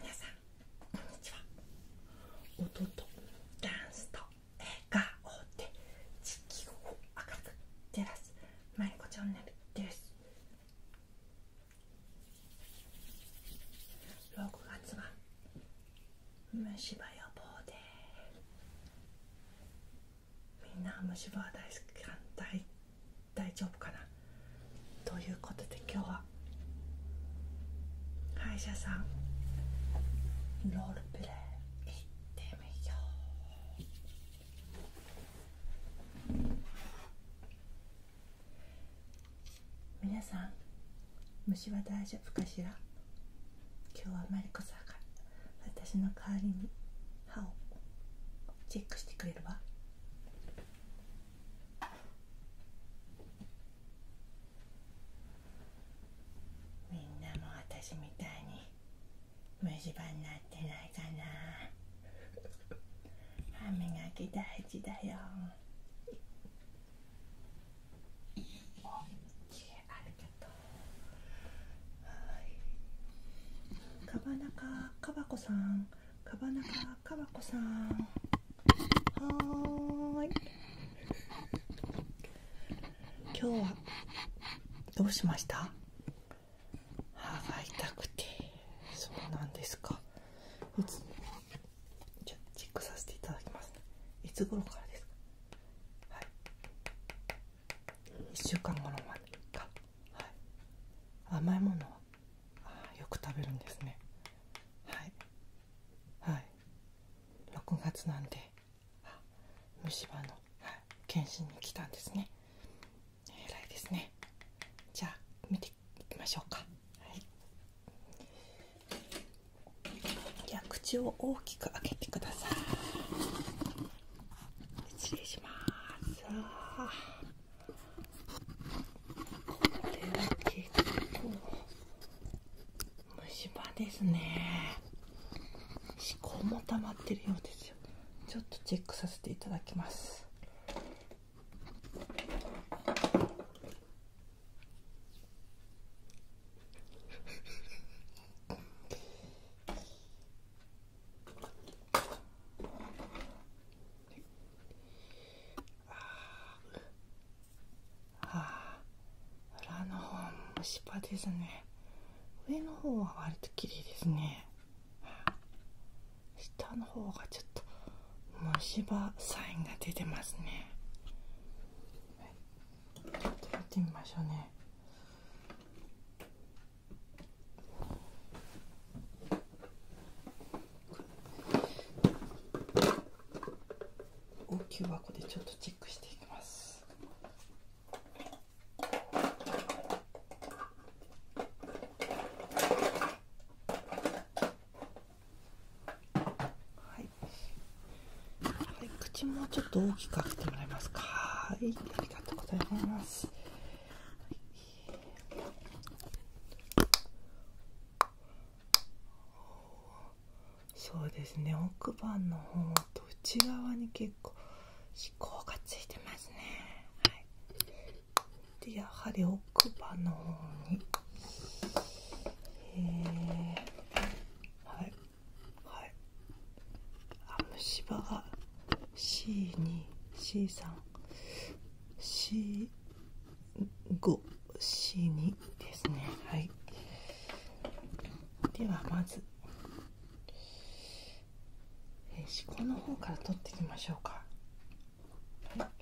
皆さんこんにちは音とダンスと笑顔で地球を明るく照らすマリコチャンネルです6月は虫歯予防でみんな虫歯は大好きか大丈夫かなということで今日は歯医者さんロールプレイ行ってみようみなさん虫は大丈夫かしら今日はマリコさんが私の代わりに歯をチェックしてくれるわみんなも私みたいに虫歯になってないかな歯磨き大事だよはい。かばなかかばこさんかばなかかわこさんはい今日はどうしました歯が痛くてそうなんですかいつチェックさせていただきますいつ頃からですかは週間後甘いものはよく食べるんですねはいはい6月なんで虫歯の、検診に来たんですねえらいですねじゃあ見ていきましょうかはいじゃあ口を大きく開けてください失礼しますは結構虫歯ですね歯垢も溜まってるようですよちょっとチェックさせていただきますああ裏の方虫歯ですね上の方は割と綺麗ですね下の方がちょっと虫歯サインが出てますねちょっとやってみましょうねはい、口もちょっと大きく開けてもらえますかはいありがとうございますそうですね奥歯の方と内側に結構歯垢がついてますねでやはり奥歯の方にえはいはいあ虫歯が C2C3C 5死2ですねはいではまず思考、えー、の方から取っていきましょうかはい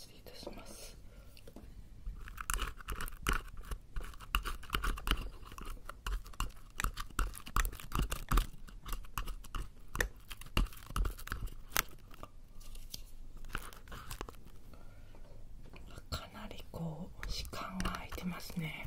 失礼いたします。かなりこう時間が空いてますね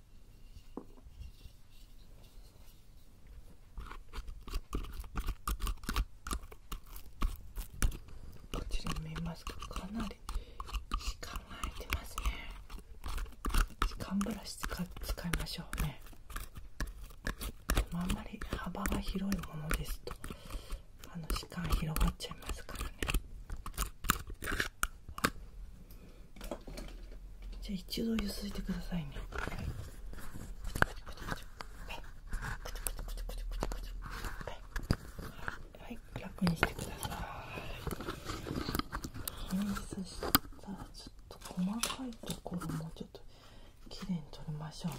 こちら見えますかかなり時間てますね時間ブラシ使いましょうねでもあんまり幅が広いものですとあの時間広がっちゃいますからねじゃあ一度ゆすいてくださいねはい楽にしてくださいは均そしたらちょっと細かいところもちょっときれいに取りましょうね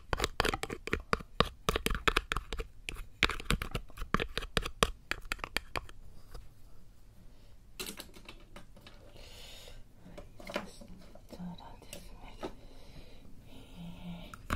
そうなんですね、えー、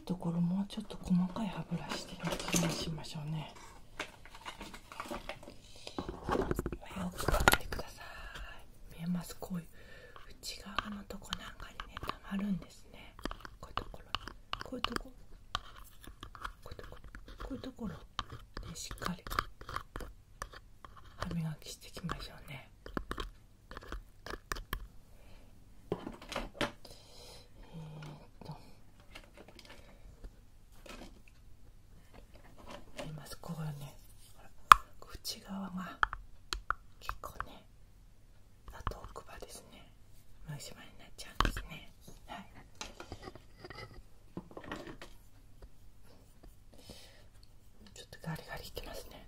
ところもうちょっと細かい歯ブラシで気りしましょうねよく見てください見えますこい内側のとこなんかにねたまるんですねこういうところこういうとここういうとここういうところでしっかり歯磨きしてきましょうねえっとありますここがねほら内側が結構ねあと奥歯ですねま歯になっちゃうんですねはいちょっとガリガリいきますね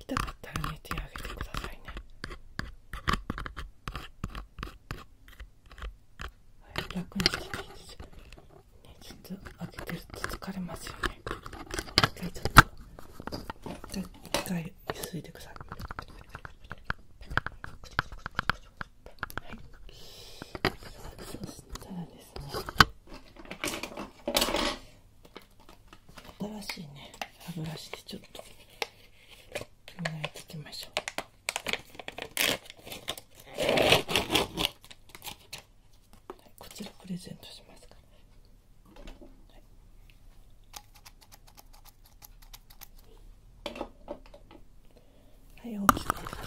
痛かったらね手を挙げてくださいねはい楽にねちょっと開けてると疲れますよね一回ちょっと一回ゆすいでくださいはいそうしたらですね新しいね歯ブラシでちょっと磨いていきましょうこちらプレゼントしますからはい、はい、大きくしてくださ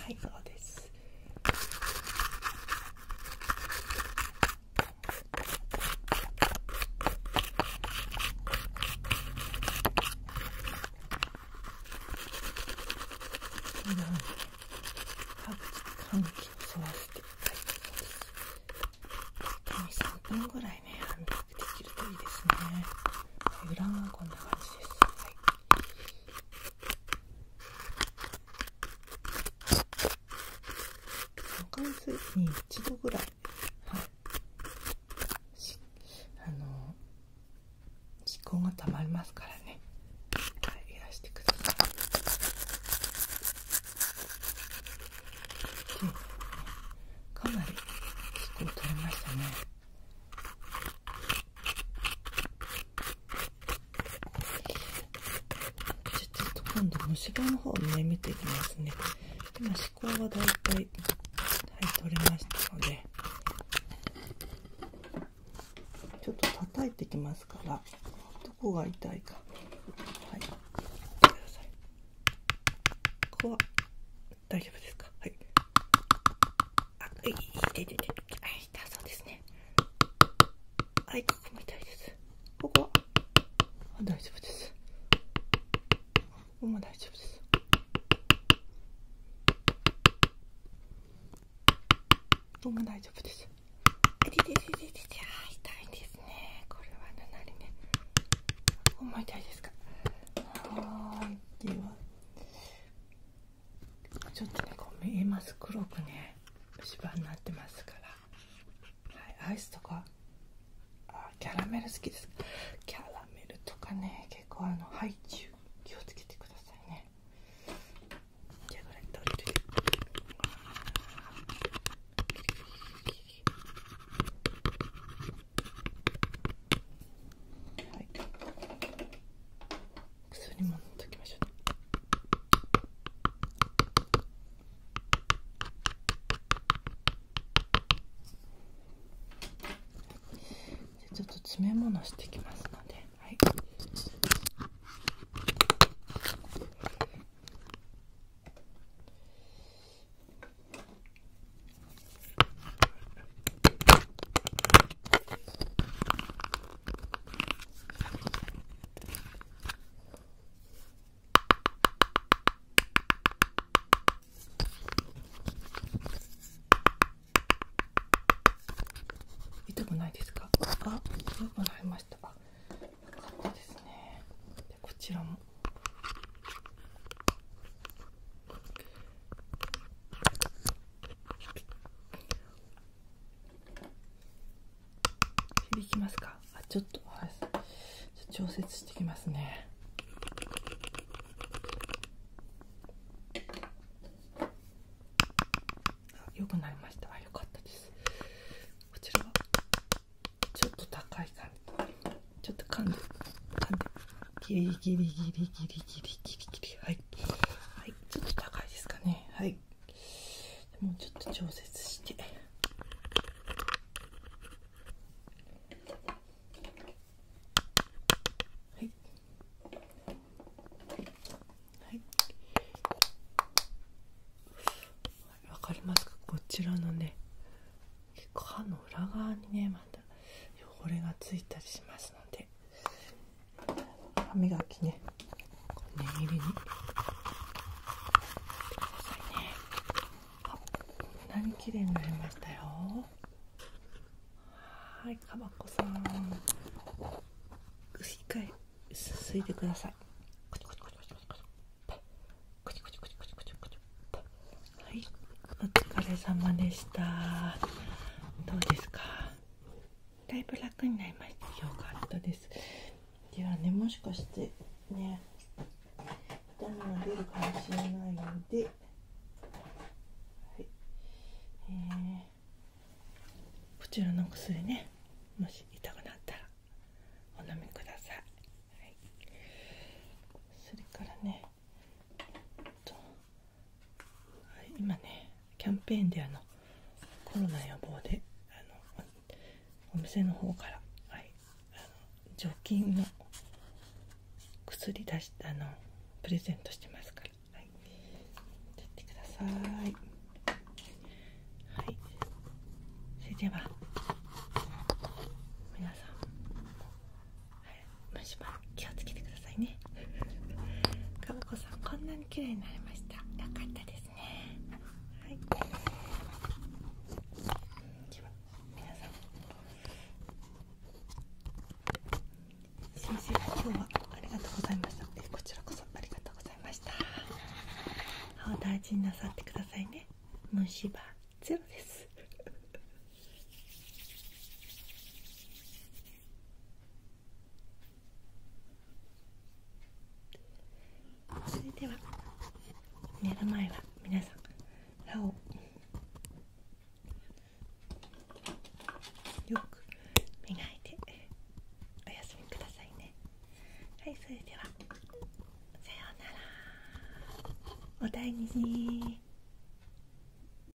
いはいそうですます歯茎を沿わせて3分ぐらいね半熟できるといいですね裏もこんな感じです、おかずに一度ぐらい、はい、あの思考がたまりますからね、はい、いらしてください。でかなり思考取れましたね。ちょっと今度虫歯の方をね見ていきますね今歯垢がだいたいはい取れましたのでちょっと叩いてきますからどこが痛いかはい見てくださいここは大丈夫ですかはいあい痛い痛い痛そうですねはいここも痛いですここは大丈夫ですここも大丈夫ですここも大丈夫ですあ痛い痛い痛い痛い痛いですねこれはななりねここも痛いですかはーいではちょっとねこう見えます黒くね虫歯になってますから、はい、アイスとかあキャラメル好きですキャラメルとかね結構あのハイチュウ気をつけてくださいねじゃあこれ取り取りはい薬もときましょう、ちょっと詰め物してきますのではい痛くないですかあ痛くなりましたあよかったですねでこちらも響きますかちょっとはい調節してきますねよくなりましたあよかったですこちらはちょっと高い感じちょっとかんで噛んでギリギリギリギリギリギリギリはいはい、ちょっと高いですかねはいもうちょっと調節してはいはいわかりますかこちらのね結歯の裏側にねまた汚れがついたりしますので歯磨きね念入りにこんなに綺麗になりましたよはいかばこさん一回すすいてくださいはいお疲れ様でしたどうですかだいぶ楽になりましたよかったですではねもしかしてね痛みが出るかもしれないので、はいえー、こちらの薬ねもし痛くなったらお飲みください、はい、それからねはい、今ねキャンペーンであのコロナ予防であのお店の方から、はい、あの除菌の薬出しあのプレゼントしてますから、はい、やってくださいはいそれでは皆さん虫歯気をつけてくださいねかっこさんこんなに綺麗になりましたよかったですねはいでは皆さん先生今日はありがとうございましたえこちらこそありがとうございました歯を大事になさってくださいね虫歯ゼロですそれでは寝る前は皆さん歯をよく磨いてお休みくださいねはいそれではさようならお大事に